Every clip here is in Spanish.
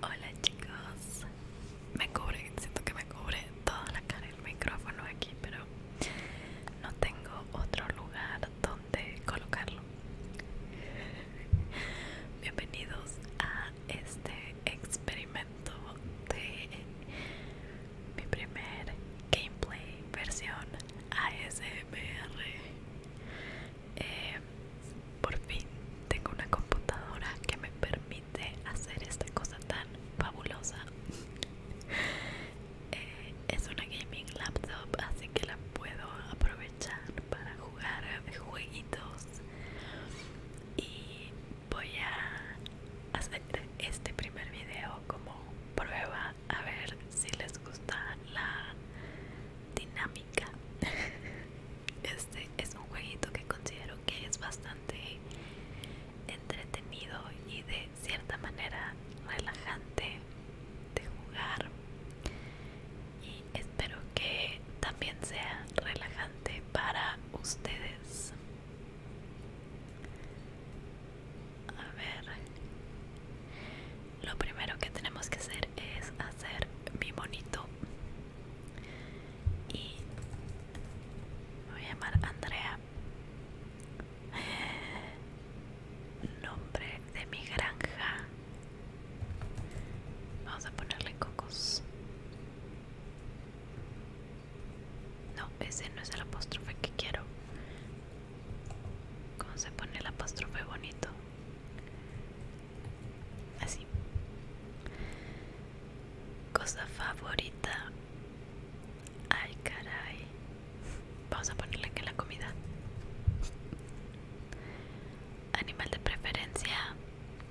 Hola chicos, me cubre, siento que me cubre toda la cara el micrófono aquí, pero no tengo otro lugar donde colocarlo. Bienvenidos a este experimento de mi primer gameplay versión ASMR. Eh, por fin tengo una computadora que me permite hacer esta cosa tan fabulosa eh, es una gaming laptop así que la puedo aprovechar para jugar jueguitos y voy a hacer este primer video como prueba a ver si les gusta la dinámica este es un jueguito que considero que es bastante entretenido y de cierta manera relajante de jugar y espero que también sea relajante para ustedes a ver lo primero que tenemos que hacer es hacer mi bonito y me voy a llamar Andrea nombre de mi granja vamos a ponerle cocos no ese no es el apóstrofe que quiero ¿Cómo se pone el apóstrofe bonito? Así. Cosa favorita. Ay, caray. Vamos a ponerle que la comida. Animal de preferencia.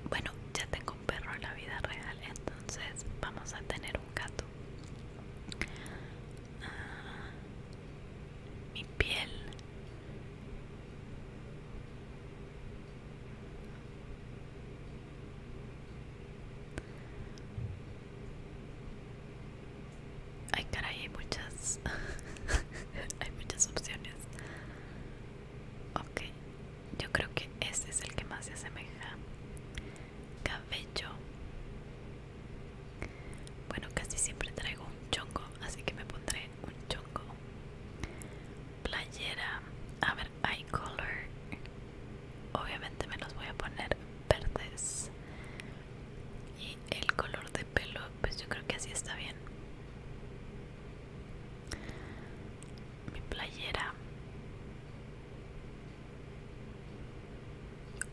Bueno, ya tengo un perro en la vida real, entonces vamos a tener un gato. Ah, mi piel Ay, caray, hay muchas. hay muchas opciones. Ok, yo creo que ese es el que más se asemeja. Cabello. Bueno, casi siempre traigo un chongo, así que me pondré un chongo playera a ver eye color obviamente me los voy a poner verdes y el color de pelo pues yo creo que así está bien mi playera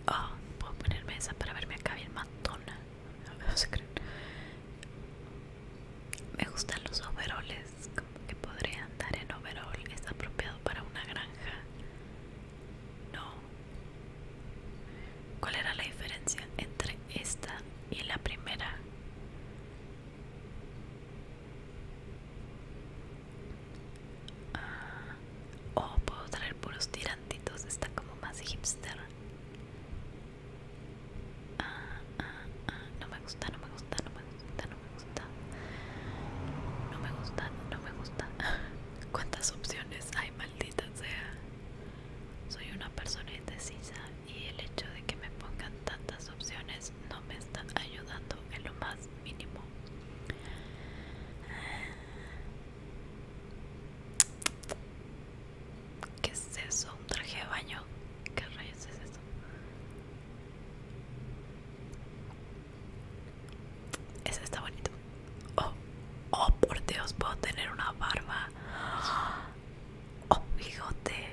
oh puedo ponerme esa para verme acá bien matona me gustan los overoles como que podría andar en overol es apropiado para una granja no cuál era la diferencia entre esta y la primera o ah, oh, puedo traer puros tirantitos, está como más hipster. No me gusta, no me gusta, no me gusta, no me gusta. No me gusta, no me gusta. ¿Cuántas opciones hay, maldita sea? Soy una persona indecisa y el hecho de que me pongan tantas opciones no me están ayudando en lo más mínimo. ¿Qué es eso? ¿Un traje de baño? ¿Qué rayos es eso? Ese está bonito. Oh, oh, por Dios, puedo tener una barba. Oh, bigote.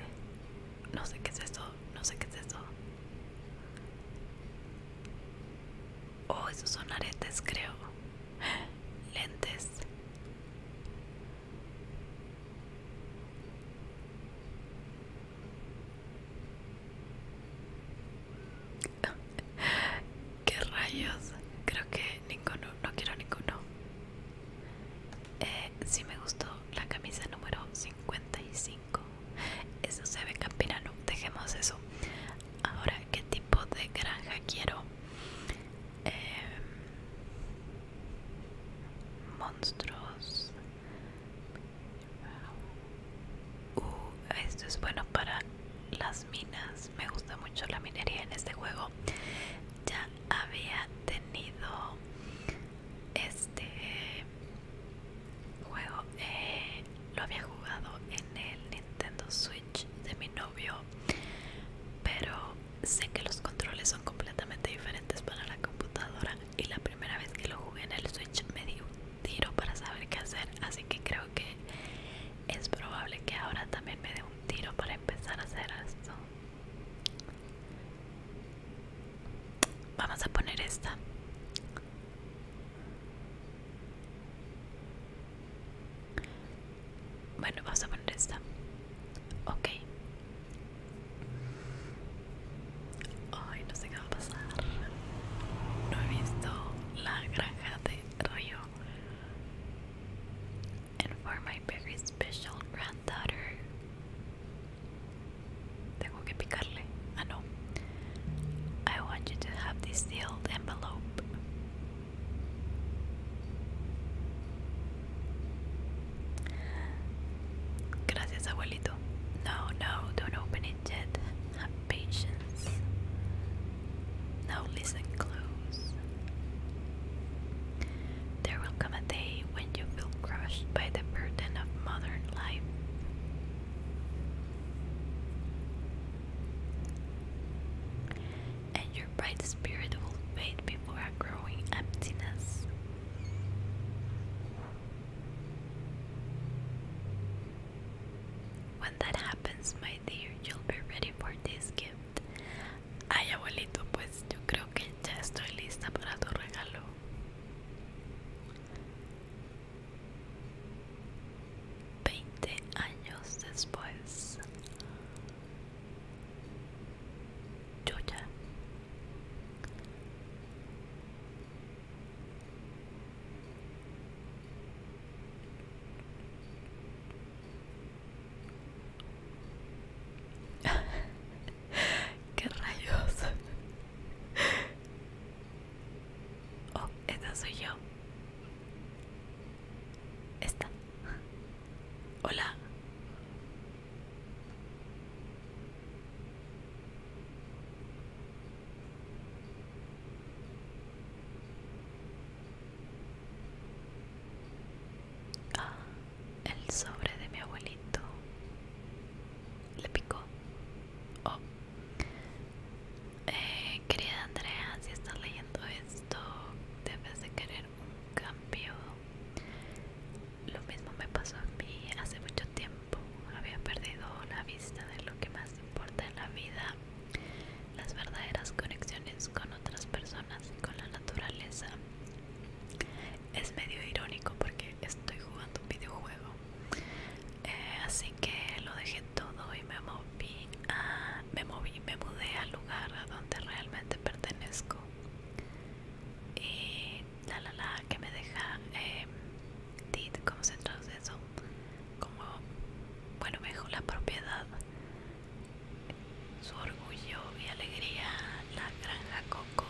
No sé qué es eso, no sé qué es eso. Oh, esos son aretes, creo. Lentes. ¿Qué rayos? Creo que ninguno, no quiero ninguno. Eh, sí me gustó la camisa número 55. Eso se ve campirano, dejemos eso. Ahora, ¿qué tipo de granja quiero? Em, monstruos uh, esto es bueno para las minas me gusta mucho la minería en este juego ya había tenido este juego eh, lo había jugado en el Nintendo Switch de mi novio, pero sé que los controles son completamente diferentes para la computadora y la primera vez que lo jugué en el Switch me di un tiro para saber qué hacer, así que creo que es probable que ahora también me dé un tiro para empezar a hacer esto. Vamos a poner esta. Bueno, vamos a poner esta. Ok. Ay, no sé qué va a pasar. No he visto la granja de Río. for my very special granddaughter. Tengo que picarle. Ah, no. I want you to have this sealed envelope. Gracias, abuelito. No, no, don't open it yet. Have patience. Now listen close. There will come a day when you feel crushed by the burden of modern life. And your bright spirit will fade before a growing emptiness. When that happens, my dear, you'll be ready for this gift. Ay, abuelito, pues yo creo que ya estoy lista para tu regalo. Veinte años después. Yo ya. ¿Qué rayos? Oh, esta soy yo. Está. Hola. Ah, el sobre de mi abuelito le picó. Oh. Eh, querida Andrea, si estás leyendo esto, debes de querer un cambio lo mismo me pasó a mí hace mucho tiempo había perdido la vista de lo que más importa en la vida las verdaderas conexiones con otras personas y con la naturaleza es medio irónico porque estoy jugando un videojuego eh, así que lo dejé todo y me moví me moví me mudé al lugar a donde realmente pertenezco. Y la la que me deja, eh, did, ¿cómo se traduce eso? Como, bueno, me la propiedad, su orgullo y alegría. La granja Coco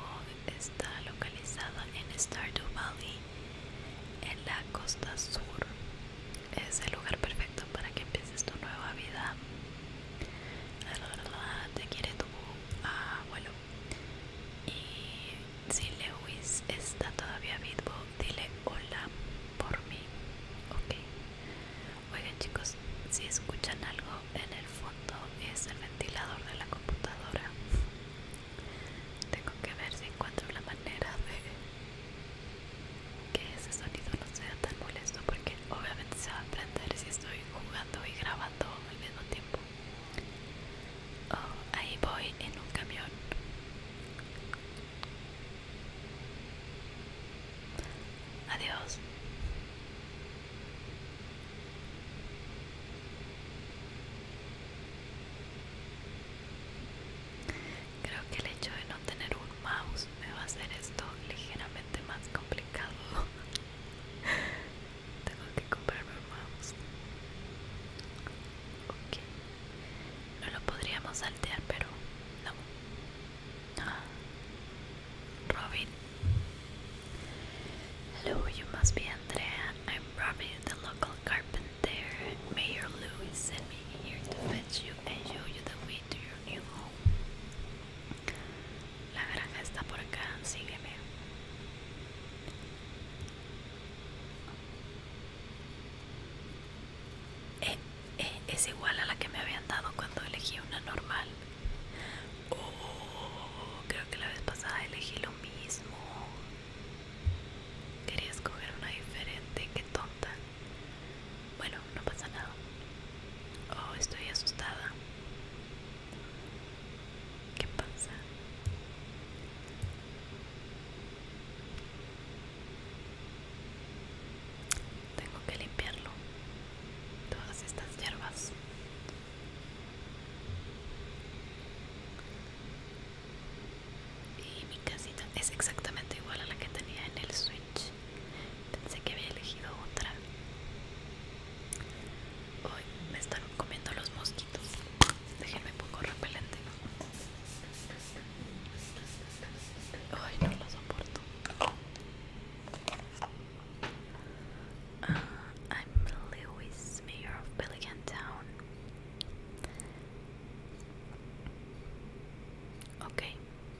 está localizada en Stardew Valley, en la costa sur es el lugar perfecto para que empieces tu nueva vida. verdad, Te quiere tu abuelo. Y si Lewis está todavía vivo, dile hola por mí. Ok. Oigan chicos, si escuchan algo en el fondo es el ventilador de la computadora. Tengo que ver si encuentro la manera de que ese sonido no sea tan molesto porque obviamente se va a aprender si estoy jugando y grabando al mismo tiempo oh, ahí voy en un camión adiós Creo que el hecho de no tener un mouse me va a hacer esto ligeramente más complicado. Tengo que comprarme un mouse. Ok. No lo podríamos saltear, pero no. Robin. Hello, you must be Andrea. I'm Robin, the local carpenter. Mayor Louis sent me here to fetch you and show you the way la granja está por acá, sígueme. Eh, eh, es igual a la que me habían dado cuando elegí una normal. Oh, creo que la vez pasada elegí lo mismo. Quería escoger una diferente, qué tonta. Bueno, no pasa nada. Oh, estoy asustada. ¿Qué pasa? Tengo que limpiarlo. Todas estas hierbas. Y mi casita es exactamente igual a la que tenía en el Switch. Pensé que había elegido otra. Hoy me están comiendo los mosquitos. Déjenme poco repelente. Ay, no lo soporto. Ah, I'm Lewis, mayor of Pelican Town. Ok,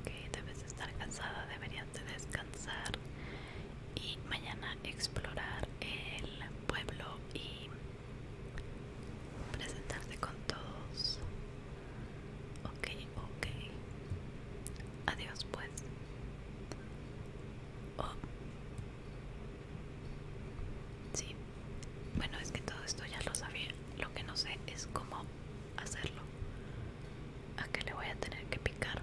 Ok, debes estar cansada, deberías de descansar y mañana explorar el pueblo y presentarte con todos. Ok, ok. Adiós pues. Oh. Sí. Bueno, es que todo esto ya lo sabía. Lo que no sé es cómo hacerlo. ¿A qué le voy a tener que picar?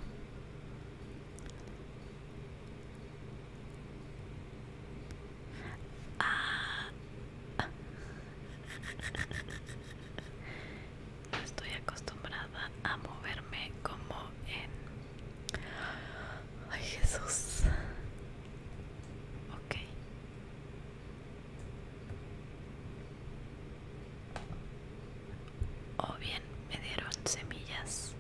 Ah. estoy acostumbrada a moverme como en... Ay Jesús. Ok o bien me dieron semillas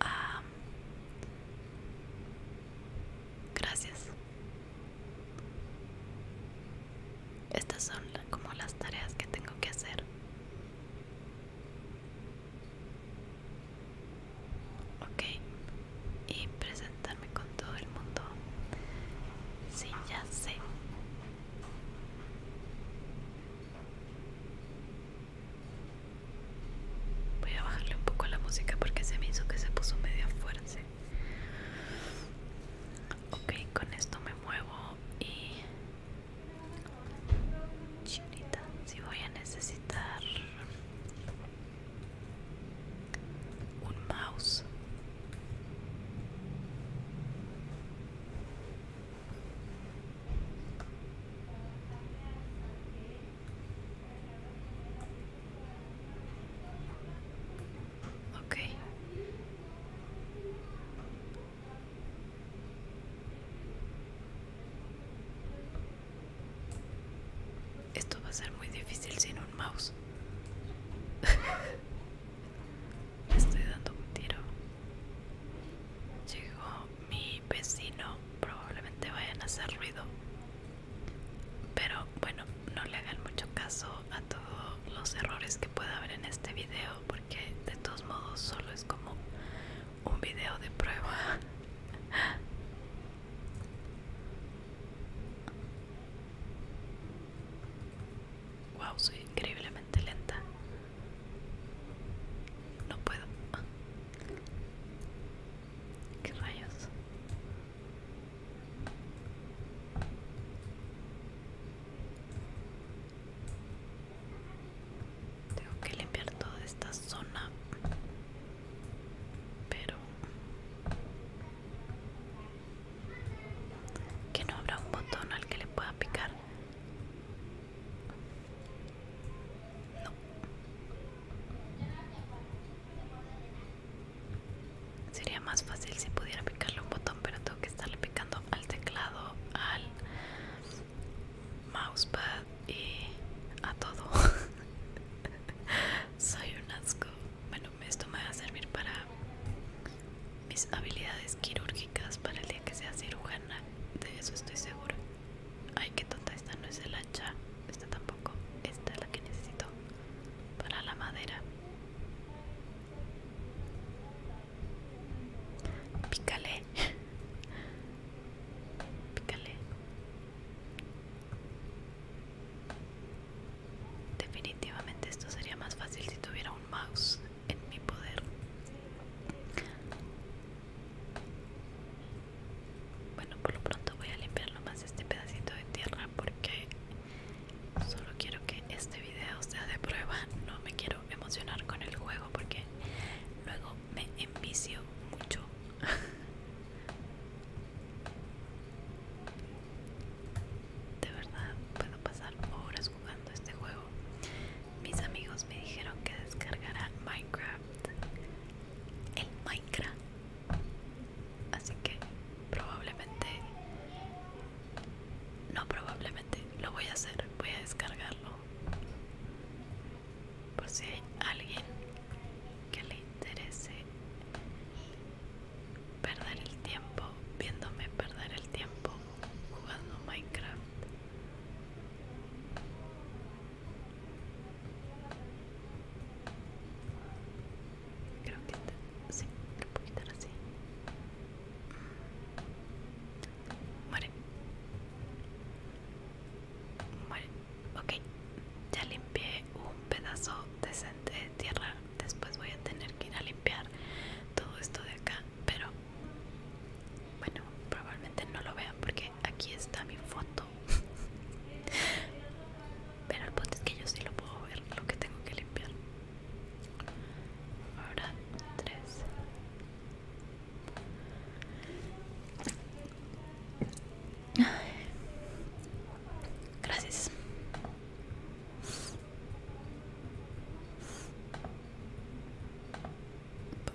ah, gracias estas son como las tareas que tengo que hacer Ok, y presentarme con todo el mundo. Si, ya sé. Voy a bajarle un poco la música porque se me hizo que se puso medio fuerte. Ok, con esto me muevo y Chinita, si voy a necesitar un mouse. Ok, esto va a ser muy difícil sin un mouse. estoy dando un tiro. Llegó mi vecino. Probablemente vayan a hacer ruido. Pero bueno, no le hagan mucho caso a todos los errores que pueda haber en este video porque de todos modos solo es como un video de prueba wow soy increíblemente lenta no puedo qué rayos tengo que limpiar toda esta zona. Pero... Que no habrá un botón al que le pueda picar. No. Sería más fácil si pudiera picarle un botón, pero tengo que estarle picando al teclado, al mousepad y a todo soy un asco bueno esto me va a servir para mis habilidades quirúrgicas para el día que sea cirujana de eso estoy segura ay que tonta esta no es el hacha esta tampoco esta es la que necesito para la madera Pícale. Pícale. Definitivamente esto sería más fácil si tuviera un mouse en mi poder. Bueno, por lo pronto voy a limpiar más este pedacito de tierra porque solo quiero que este video sea de prueba. No me quiero emocionar con el juego porque luego me envicio mucho. De verdad, puedo pasar horas jugando este juego. Mis amigos me dijeron que descargarán Minecraft. El Minecraft. Así que probablemente... No, probablemente lo voy a hacer. Voy a descargarlo por si hay alguien que le interese perder el tiempo viéndome perder el tiempo jugando Minecraft creo que sí que puedo quitar así Muere. Muere. Ok. Ya limpié un pedazo decente de tierra. Después voy a tener que ir a limpiar todo esto de acá. Pero bueno, probablemente no lo vean porque aquí está mi foto. Pero el punto es que yo sí lo puedo ver, lo que tengo que limpiar. Ahora 3, Gracias.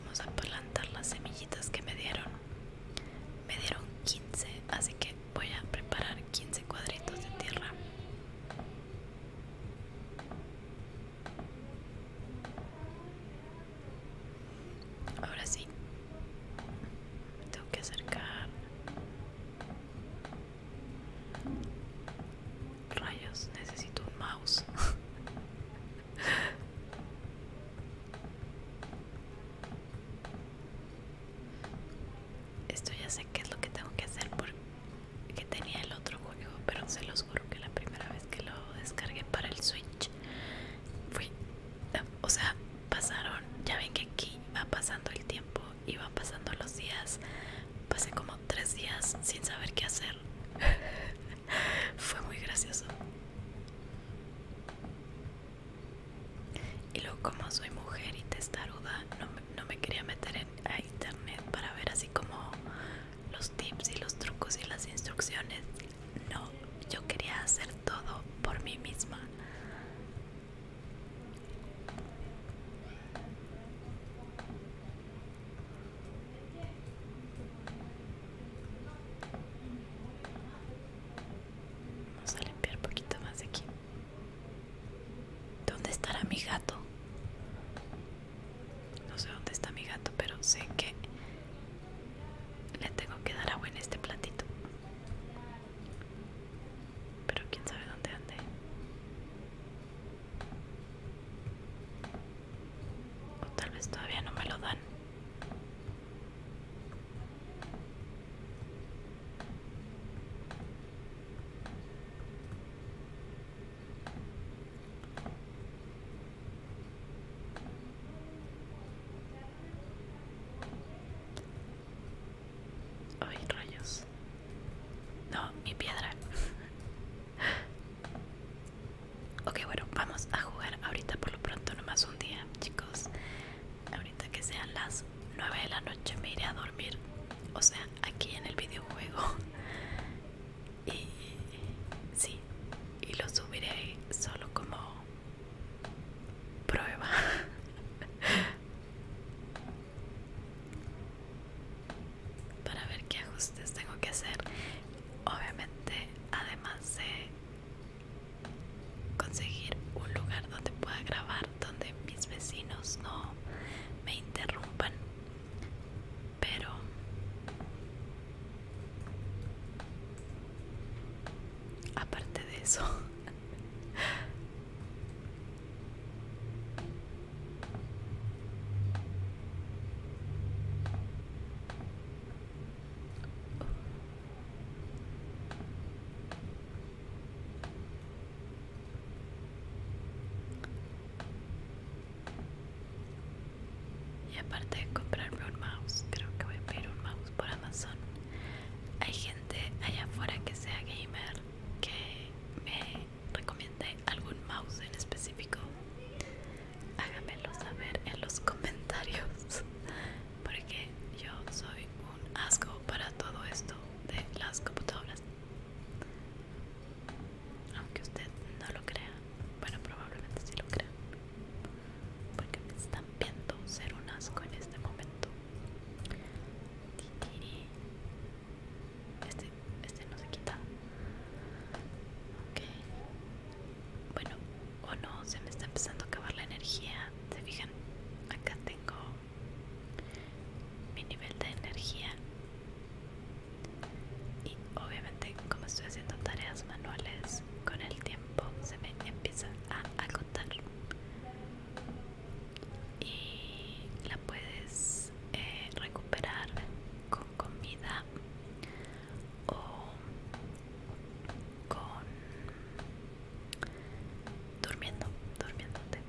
Vamos a plantar las semillitas que me dieron. Me dieron 15, así que voy a preparar 15 cuadritos de tierra. Ahora sí. tengo que acercar. Rayos, necesito un mouse. Esto ya sé qué es lo que tengo que hacer porque tenía el otro juego, pero se los Seguro que la primera vez que lo descargué para el Switch fui, o sea, pasaron, ya ven que aquí va pasando el tiempo y va pasando los días, pasé como tres días sin saber qué hacer, fue muy gracioso. Y luego como soy mujer y testaruda, no me, no me quería meter en, a internet para ver así como los tips y los trucos y las instrucciones. No, yo quería hacer todo por mí misma. Vamos a limpiar poquito más de aquí. ¿Dónde estará mi gato? No sé dónde está mi gato, pero sé que le tengo que dar agua en este platito. Pero quién sabe dónde ande. O tal vez todavía no me lo dan. Ay, rayos. No, mi piedra. ok, bueno, vamos a jugar ahorita por lo pronto, nomás un día, chicos. Ahorita que sean las 9 de la noche me iré a dormir. O sea, aquí en el videojuego y sí y lo subiré solo como prueba para ver qué ajustes tengo que hacer obviamente además de conseguir un lugar donde pueda grabar donde mis vecinos no me interrumpan pero aparte de eso y aparte de comprarme un mouse, creo que voy a pedir un mouse por Amazon. Hay gente allá afuera que sea gamer que me recomiende algún mouse en específico. Háganmelo saber en los comentarios. Porque yo soy un asco para todo esto de las computadoras aunque usted no lo crea bueno probablemente sí lo crea porque me están viendo ser un asco en este momento este, este no se quita ok bueno o no se me está empezando a acabar la energía se fijan acá tengo mi nivel de energía y obviamente como estoy haciendo tareas manuales, con el tiempo se me empieza a agotar. Y la puedes eh, recuperar con comida o con durmiendo, durmiéndote.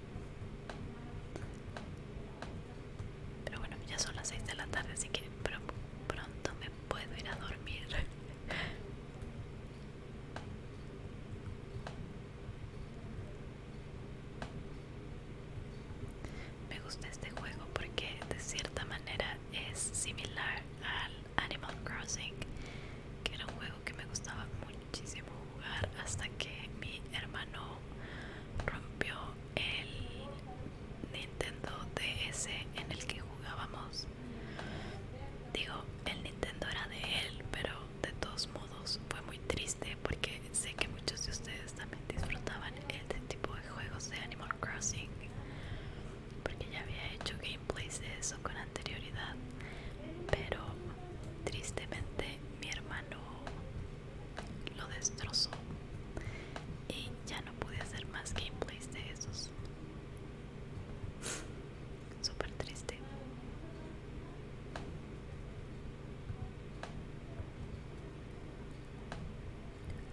Pero bueno, ya son las 6 de la tarde, así que pronto me puedo ir a dormir. Me gusta este juego porque de cierta manera es similar al Animal Crossing, que era un juego que me gustaba muchísimo jugar hasta que mi hermano rompió el Nintendo DS en el que jugábamos. Digo, el Nintendo era de él, pero de todos modos fue muy triste porque sé que muchos de ustedes también disfrutaban este tipo de juegos de Animal Crossing. Porque ya había hecho gameplays de eso con anterioridad. Pero tristemente mi hermano lo destrozó y ya no pude hacer más gameplays de esos. Súper triste.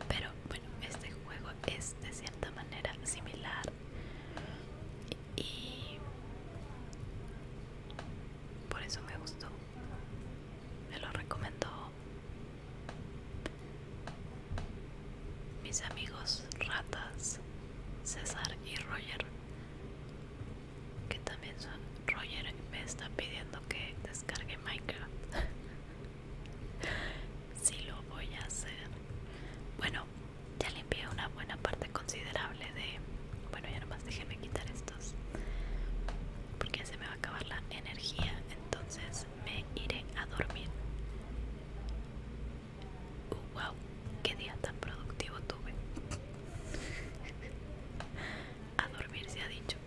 Pero bueno, este juego es de cierta manera similar y por eso me gustó. Me lo recomendó mis amigos ratas César y Roger. Que también son Roger me está pidiendo que descargue Minecraft. Si lo voy a hacer. Bueno, ya limpié una buena parte considerable de. Bueno, ya nomás déjenme quitar estos porque se me va a acabar la energía entonces me iré a dormir wow uh, qué día tan productivo tuve a dormir se ha dicho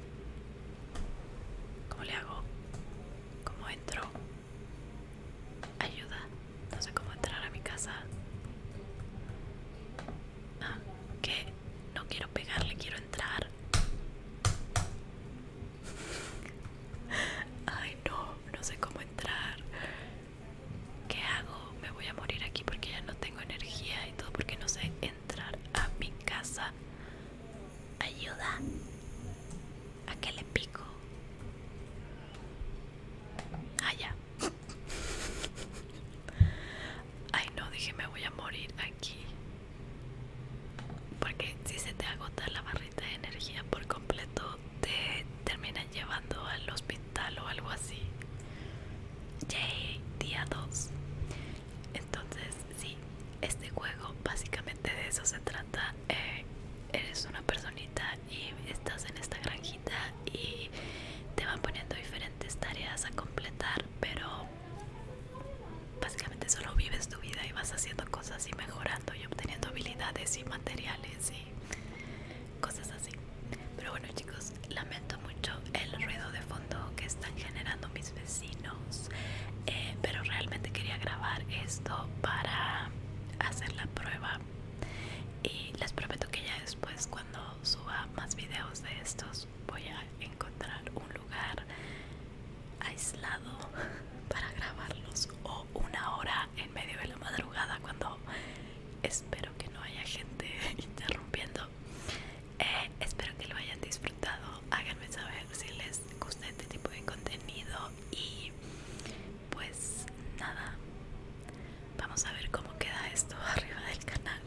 ¿Cómo le hago? ¿Cómo entro? Ayuda, no sé cómo entrar a mi casa. ¿Qué? Ah, que no quiero pegarle, quiero entrar. Ay no, no sé cómo entrar. ¿Qué hago? Me voy a morir aquí porque ya no tengo energía y todo porque no sé entrar a mi casa. Ayuda. ¿A qué le pico? Ah, ya. Ay no, dije me voy a morir aquí porque si se te agota la barrita de energía por completo te terminan llevando al hospital o algo así Yay, día 2 entonces sí este juego básicamente de eso se trata eh, eres una personita y estás en esta granjita y te van poniendo diferentes tareas a completar pero básicamente solo vives tu vida y vas haciendo cosas y mejorando y obteniendo habilidades y materiales y cosas así. Pero bueno chicos, lamento mucho el ruido de fondo que están generando mis vecinos, eh, pero realmente quería grabar esto para hacer la prueba y les prometo que ya después cuando suba más videos de estos voy a encontrar un lugar aislado para grabarlos o una hora en medio de la madrugada cuando espero que no haya gente interrumpiendo eh, espero que lo hayan disfrutado háganme saber si les gusta este tipo de contenido y pues nada vamos a ver cómo queda esto arriba del canal